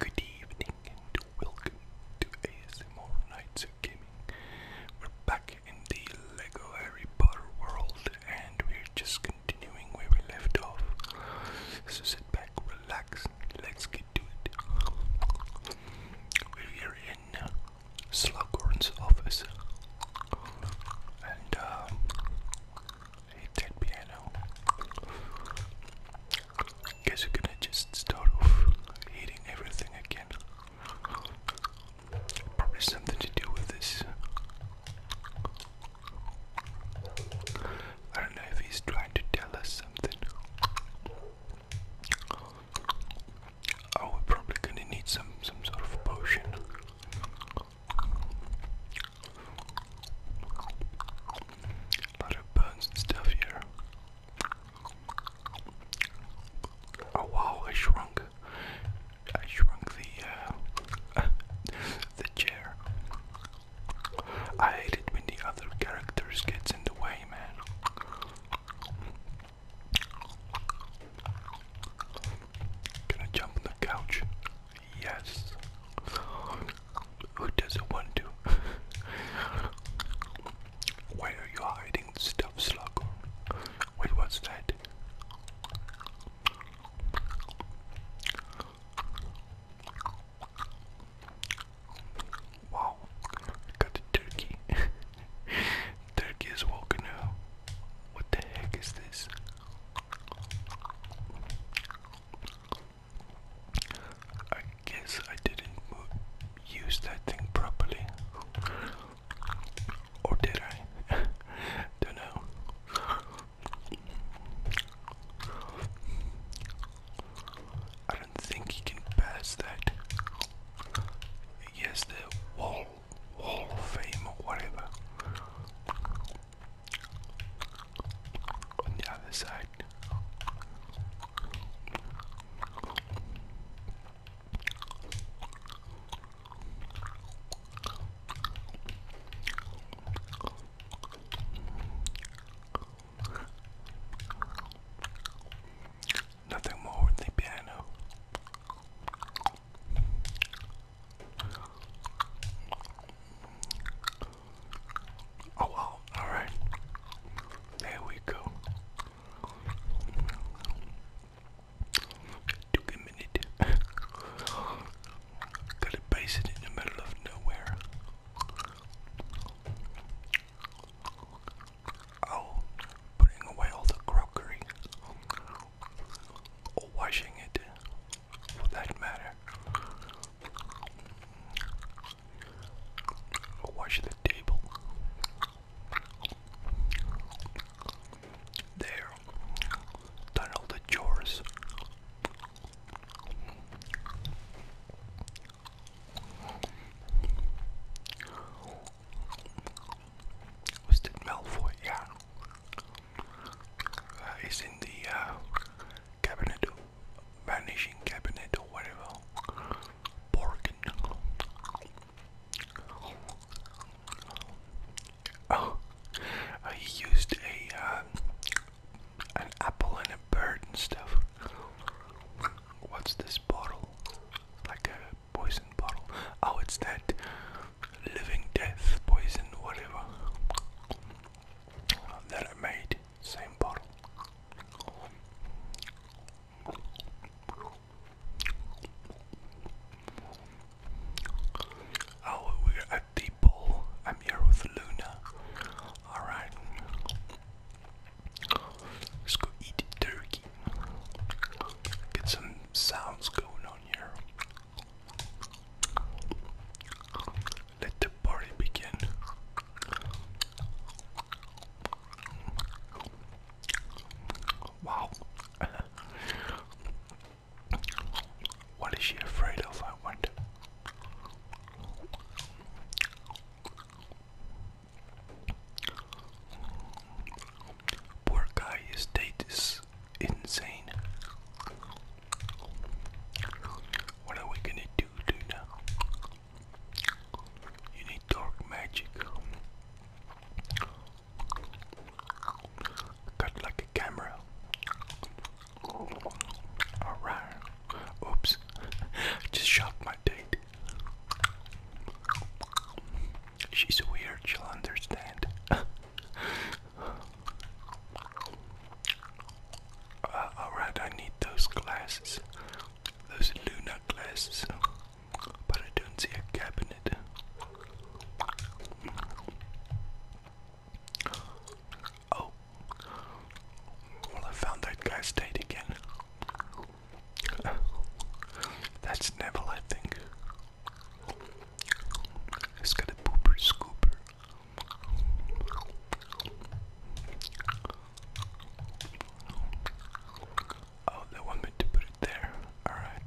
Good evening and welcome to ASMR Nights of Gaming. We're back in the LEGO Harry Potter world and we're just continuing where we left off. So sit back, relax, let's get to it. We're in uh, Slughorn's office and um, hate piano. Guess we're gonna just start off eating everything again. Probably something to do with this. I don't know if he's trying to tell us something. Oh, we're probably gonna need some some sort of potion. A of bones and stuff here. Oh wow, I shrunk. I shrunk the uh, the chair. I hate it when the other characters gets in the way, man. Gonna jump on the couch. Yes. Who doesn't want to? Why are you hiding stuff, Sluggo? Wait, what's that? Wow, got the turkey. turkey is walking now. What the heck is this? I guess I didn't use that thing properly. Or did I? Don't know. I don't think he can pass that. Yes, the wall, wall of fame or whatever on the other side. Nothing more than the piano. Oh wow, alright. There we go. Took a minute. Gotta base in the middle of nowhere. Oh, putting away all the crockery. Or washing it for that matter. Watch the table. There, done all the chores. Was it Malfoy? Yeah uh, in the uh, cabinet, vanishing cabinet or whatever. Borkin. Oh, uh, he used a uh, an apple and a bird and stuff. What's this bottle? Like a poison bottle. Oh, it's that living death poison, whatever that I made, same bottle. Oh, we're at the ball. I'm here with Luna. Alright. Let's go eat turkey. Get some sounds going on here. Let the party begin. Wow. what is she afraid of, I wonder? Poor guy, his date insane. What are we gonna do, do You need dark magic. Cut like a camera. Alright. Oops. Just shot my date. She's weird, she'll understand. Uh, Alright, I need those glasses. Those Luna glasses. But I don't see a cabinet. Oh. Well, I found that guy's date again. That's Neville, I think. It's got a pooper scooper. Oh, they want me to put it there. Alright.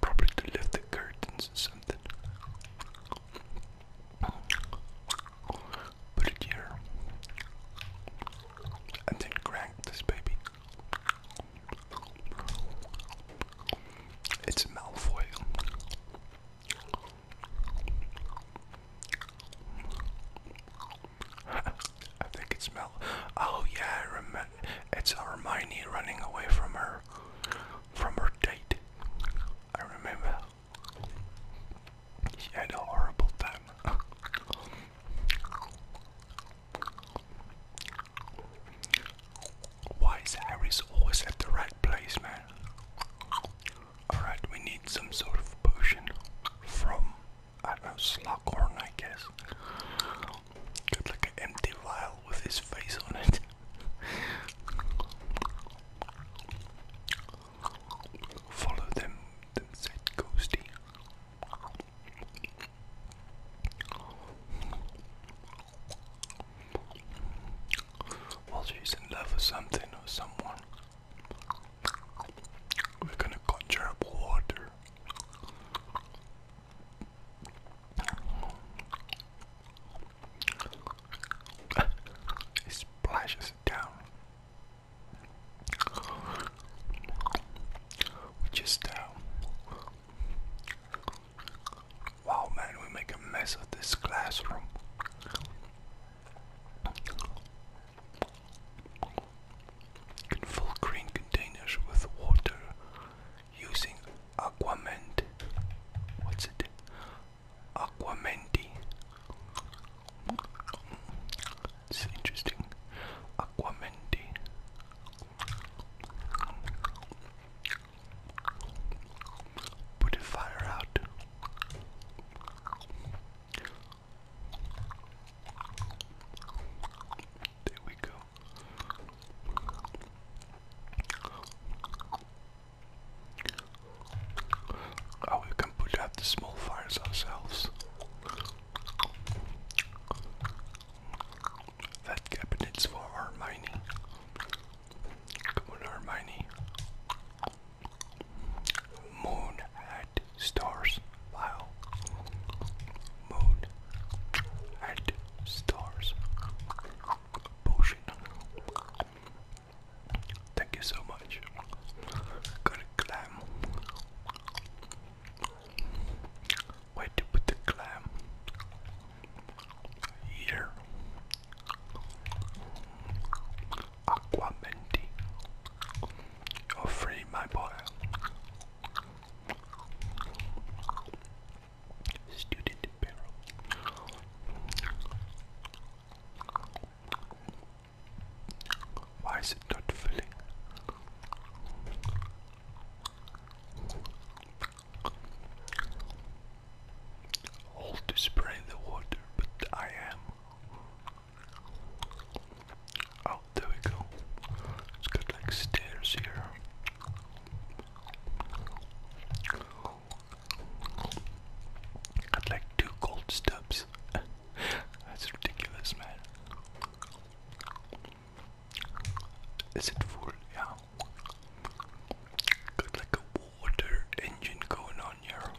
Probably to lift the curtains or something. Put it here. And then crank this baby. It's Malfoy. I think it smells. Oh yeah, I remember. It's Hermione running away from her, from her date. I remember. She had a horrible time. Why is Harry's always at the right place, man? Alright, we need some sort of potion from, I know, Slughorn, I guess. Got like an empty vial with his face on it. Follow them, them said Ghosty. While she's in love with something or someone, we're gonna conjure up water. it splashes down. Which is uh, Wow, man, we make a mess of this classroom. In full containers with water using aquament. What's it? Aquamenti. It's interesting. Aquamenti. Put the fire out. There we go. Oh, we can put out the small fires ourselves. That cabinet's for Hermione. Come on, Hermione. Moon at stars. Wow. Moon at stars. Potion. Thank you so much. Got a clam. Where to put the clam? Here. Aquamenti. You're my boy. Student barrel. Why is it not filling? Hold the spray in the water, but I am. Oh, there we go. It's got like stairs here. Got like two gold stubs. That's ridiculous, man. Is it full? Yeah. Got like a water engine going on here.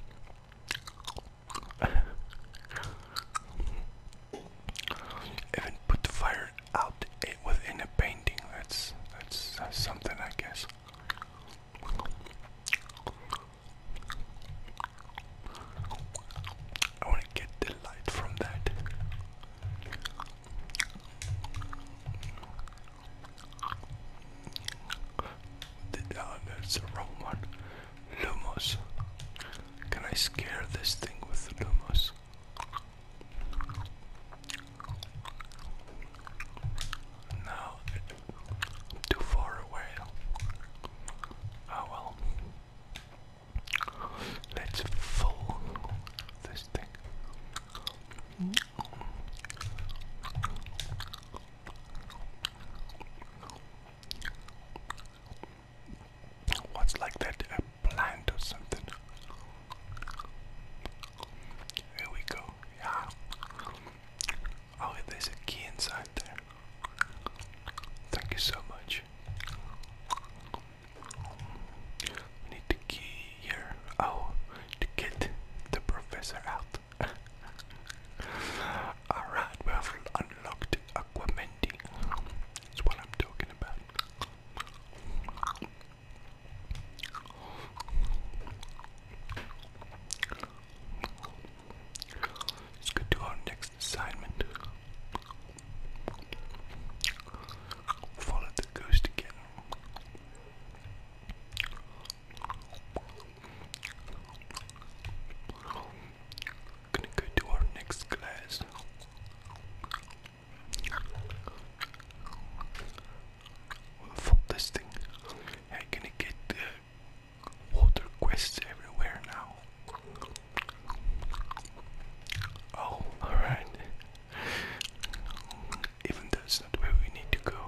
Even put the fire out within a painting. That's that's, something, I guess. I want to get the light from that. The, that's the wrong one. Lumos. Can I scare this thing with Lumos? No, too far away. Oh well. Let's fold this thing. What's like that? A plant or something? Here we go. Yeah. Oh, there's a key inside there. Thank you so much. We need the key here. Oh, to get the professor out. Alright, we have unlocked Aquamendi. That's what I'm talking about. Let's go to our next assignment. Follow the ghost again. Gonna go to our next class. We'll fold this thing. I'm gonna get the uh, water quests everywhere now. Oh, alright. Even that's not where we need to go.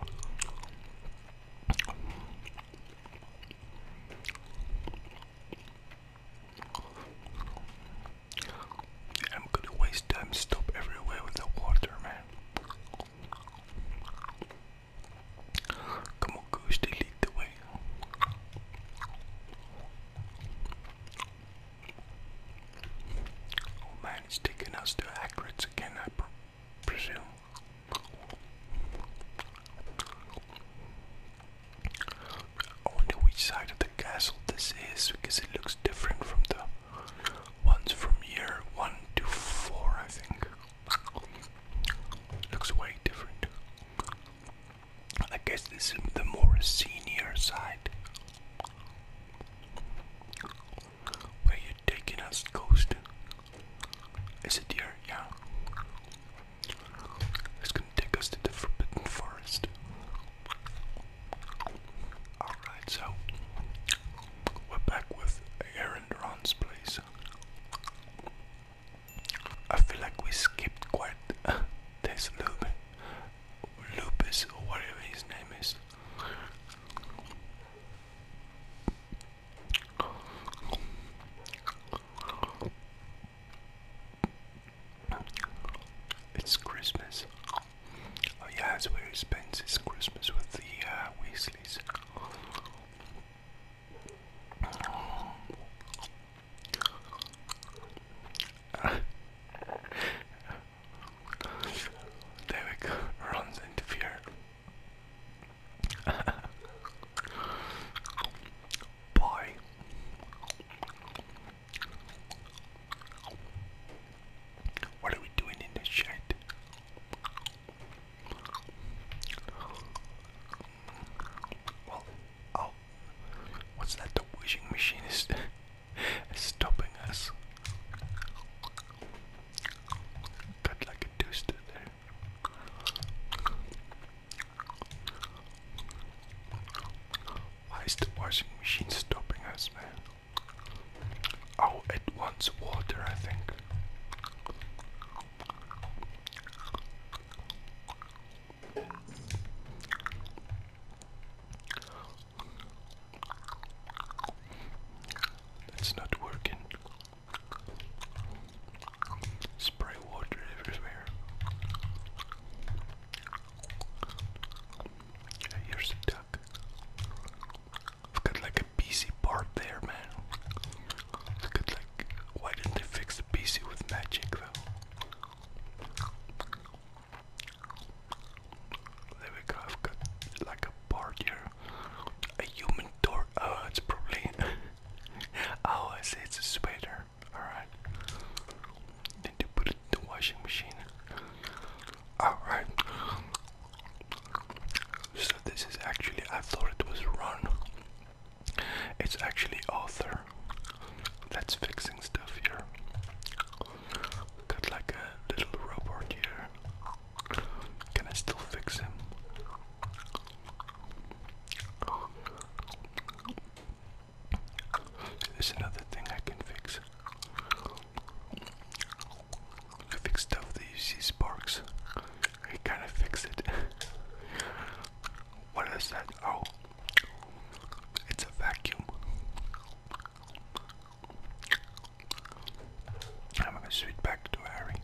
I'm gonna waste time, stop everywhere with the water, man. Come on, Goose, they lead the way. Oh man, it's taking us to Hagrid's again, I presume. I wonder which side of the castle this is because it looks different from the ones from year 1 to 4, I think. Looks way different. I guess this is the more senior side. Where you taking us, ghost? Is it here? Yeah. It's gonna take us to the Forbidden Forest. Alright, so we're back with Aaron place. I feel like we skipped quite this a little Lupus or whatever his name is. It's Christmas. Oh yeah, that's where he spends his Christmas with the uh, Weasleys. Derek runs into fear. Boy. What are we doing in this shed? Oh, what's that? The wishing machine is, stopping us. Got like a toaster there. Why is the washing machine stopping us, man? Oh, it wants water, I think. That's not working. Spray water everywhere. Yeah, here's a duck. I've got like a PC part there, man. I've got like. Why didn't they fix the PC with magic though? There we go, I've got like a part here. A human door. Oh, it's probably. oh, I see, it's a spider. Alright. Need to put it in the washing machine. Alright. So, this is actually, I thought it was run. It's actually Arthur that's fixing stuff here. Got like a little robot here. Can I still fix him? There's another thing I can fix. I fix stuff that you sparks. I kind fix it. what is that? Oh, it's a vacuum. I'm gonna switch back to Harry.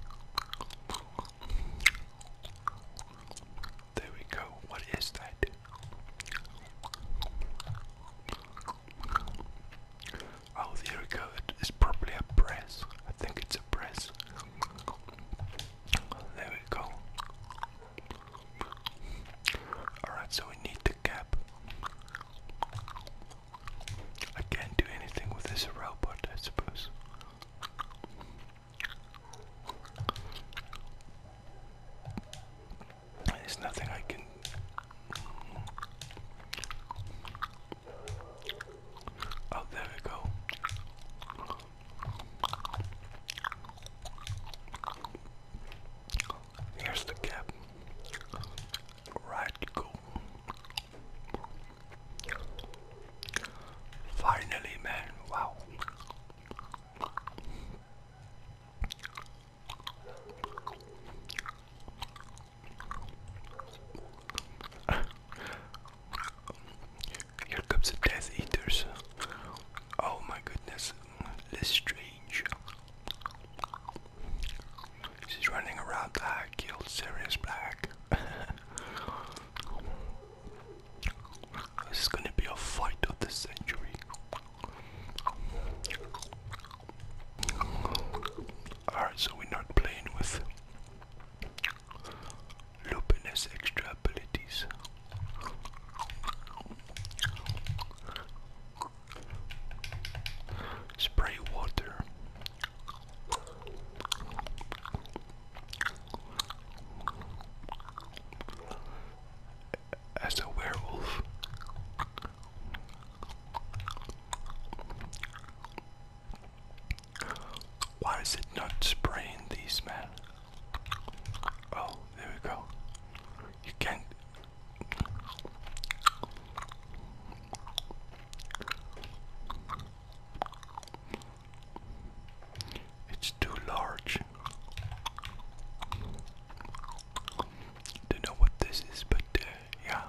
There we go. What is that? Oh, there we go. It's probably a press. I think it's a press. There we go. Alright, so we need the cap. I can't do anything with this robot, I suppose. There's nothing I can. Oh, there we go. Here's the cap. Right go. Finally, man. Wow. Here comes the Death Eaters. Oh my goodness, Lestrange. She's running around. I killed Sirius Black. this is gonna be a fight of the century. Alright, so we're not playing with Lupin has extra abilities. Spray water. As a werewolf, why is it not spraying these, man? Oh, there we go. You can't. It's too large. Don't know what this is, but uh, yeah.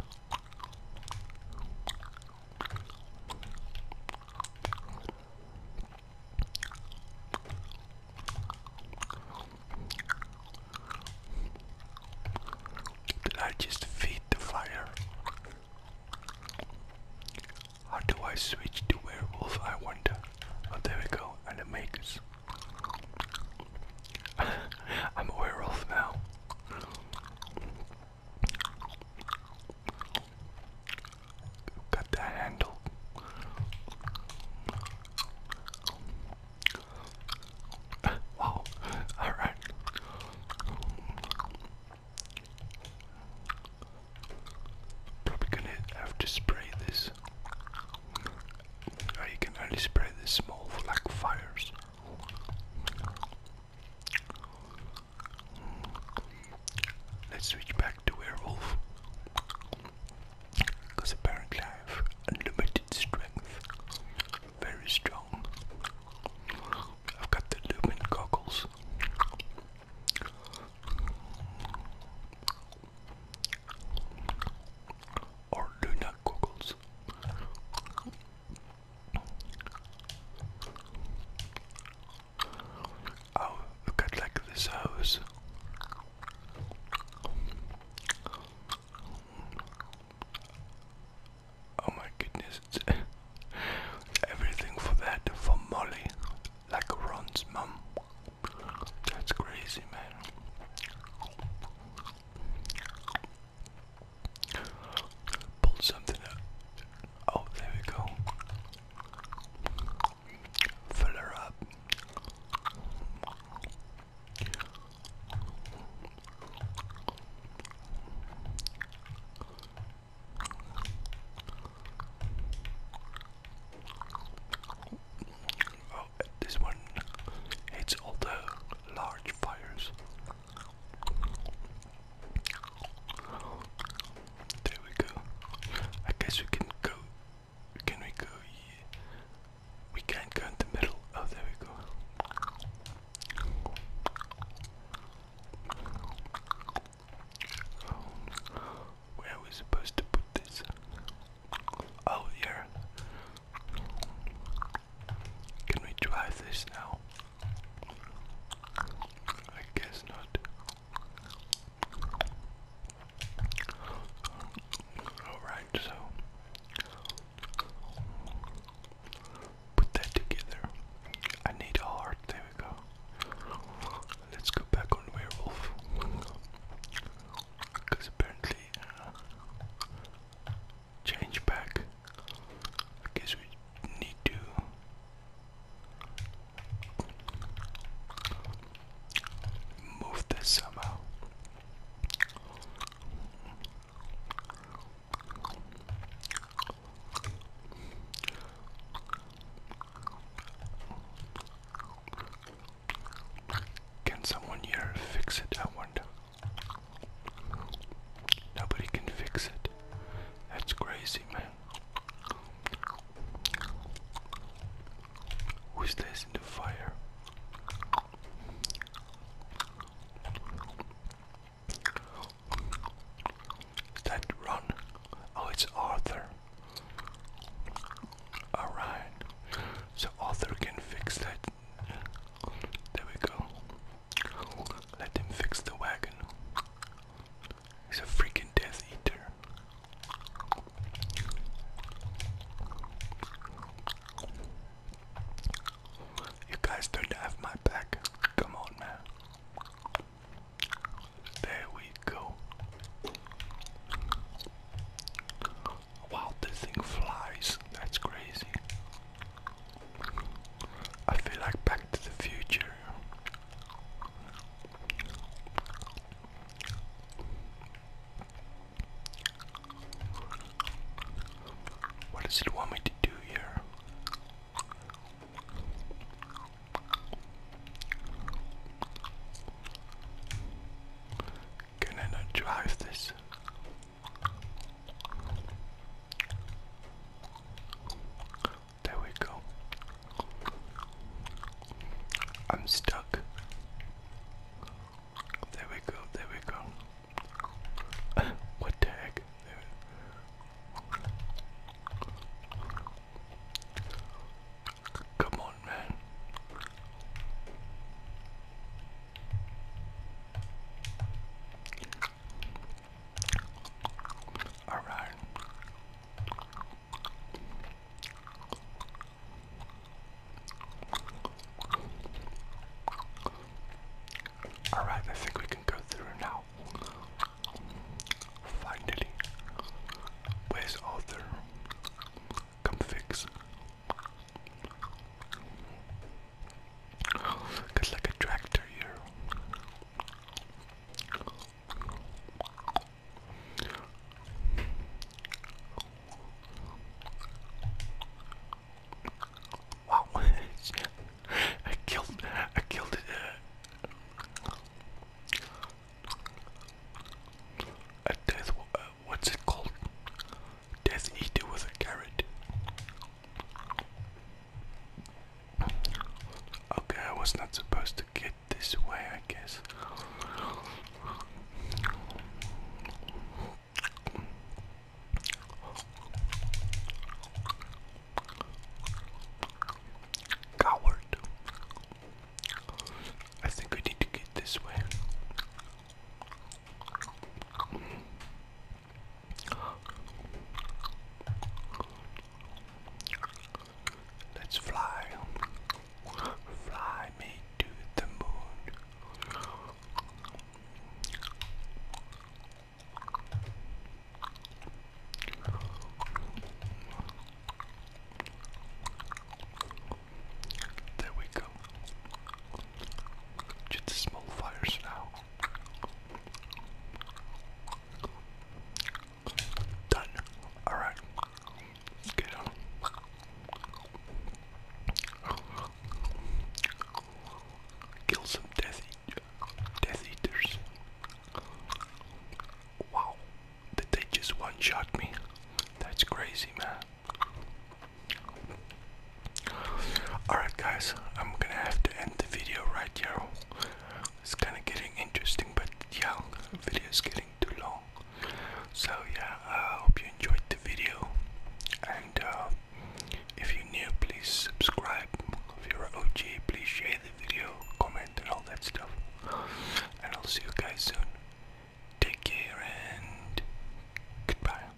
I just feed the fire? How do I switch to werewolf? I wonder. Oh, there we go. And it makes. I'm a werewolf now. Got that handle. wow. All right. Probably gonna have to spray this. Or can only spray this small for like fires. Let's switch back to werewolf. Because apparently I have unlimited strength. Very strong. I've got the lumen goggles. Or Luna goggles. Oh, look at like this house. Oh my goodness, everything for that, for Molly, like Ron's mum. That's crazy, man. Pull something up. Oh, there we go. Fill her up. Oh, this one hates all the large fires. There we go. I guess we can go. Can we go? Yeah. We can go in the middle. Oh, there we go. Where are we supposed to put this? Oh, here. Can we drive this now? I guess not. Alright, so put that together. I need a heart, there we go. Let's go back on werewolf. Because apparently, uh, change back I guess we need to move this somehow. Can someone here fix it? I wonder. Nobody can fix it. That's crazy, man. Who stays in the fire? Is that Ron? Oh, it's Arthur. Alright. So Arthur can fix that. There we go. Let him fix the wagon. He's a freaking Death Eater. You guys don't have my back. Come on, man. There we go. Wow, the thing flies. That's crazy. I feel like Back to the Future. What does it want me to do here? Can I not drive this? There we go. I'm stuck. There we go, there we go. what the heck? Come on, man. All right. All right, I think we can go through now. Finally, where's Arthur? Come fix. It's like a tractor here. Wow! I killed. I killed it. A death. Uh, what's it called? Death eater with a carrot. Okay, I was not supposed to get this way, I guess. Coward. I think we need to get this way. Let's fly. Fly me to the moon. There we go. Just small fires now. Done. Alright. get on. Kill some death death eaters. Wow. Did they just one shot me? That's crazy man. Alright, guys, I'm gonna have to end the video right here. It's kind of getting interesting, but yeah, video's getting too long. So, yeah, I hope you enjoyed the video. And uh, if you're new, please subscribe. If you're an OG, please share the video, comment, and all that stuff. And I'll see you guys soon. Take care and goodbye.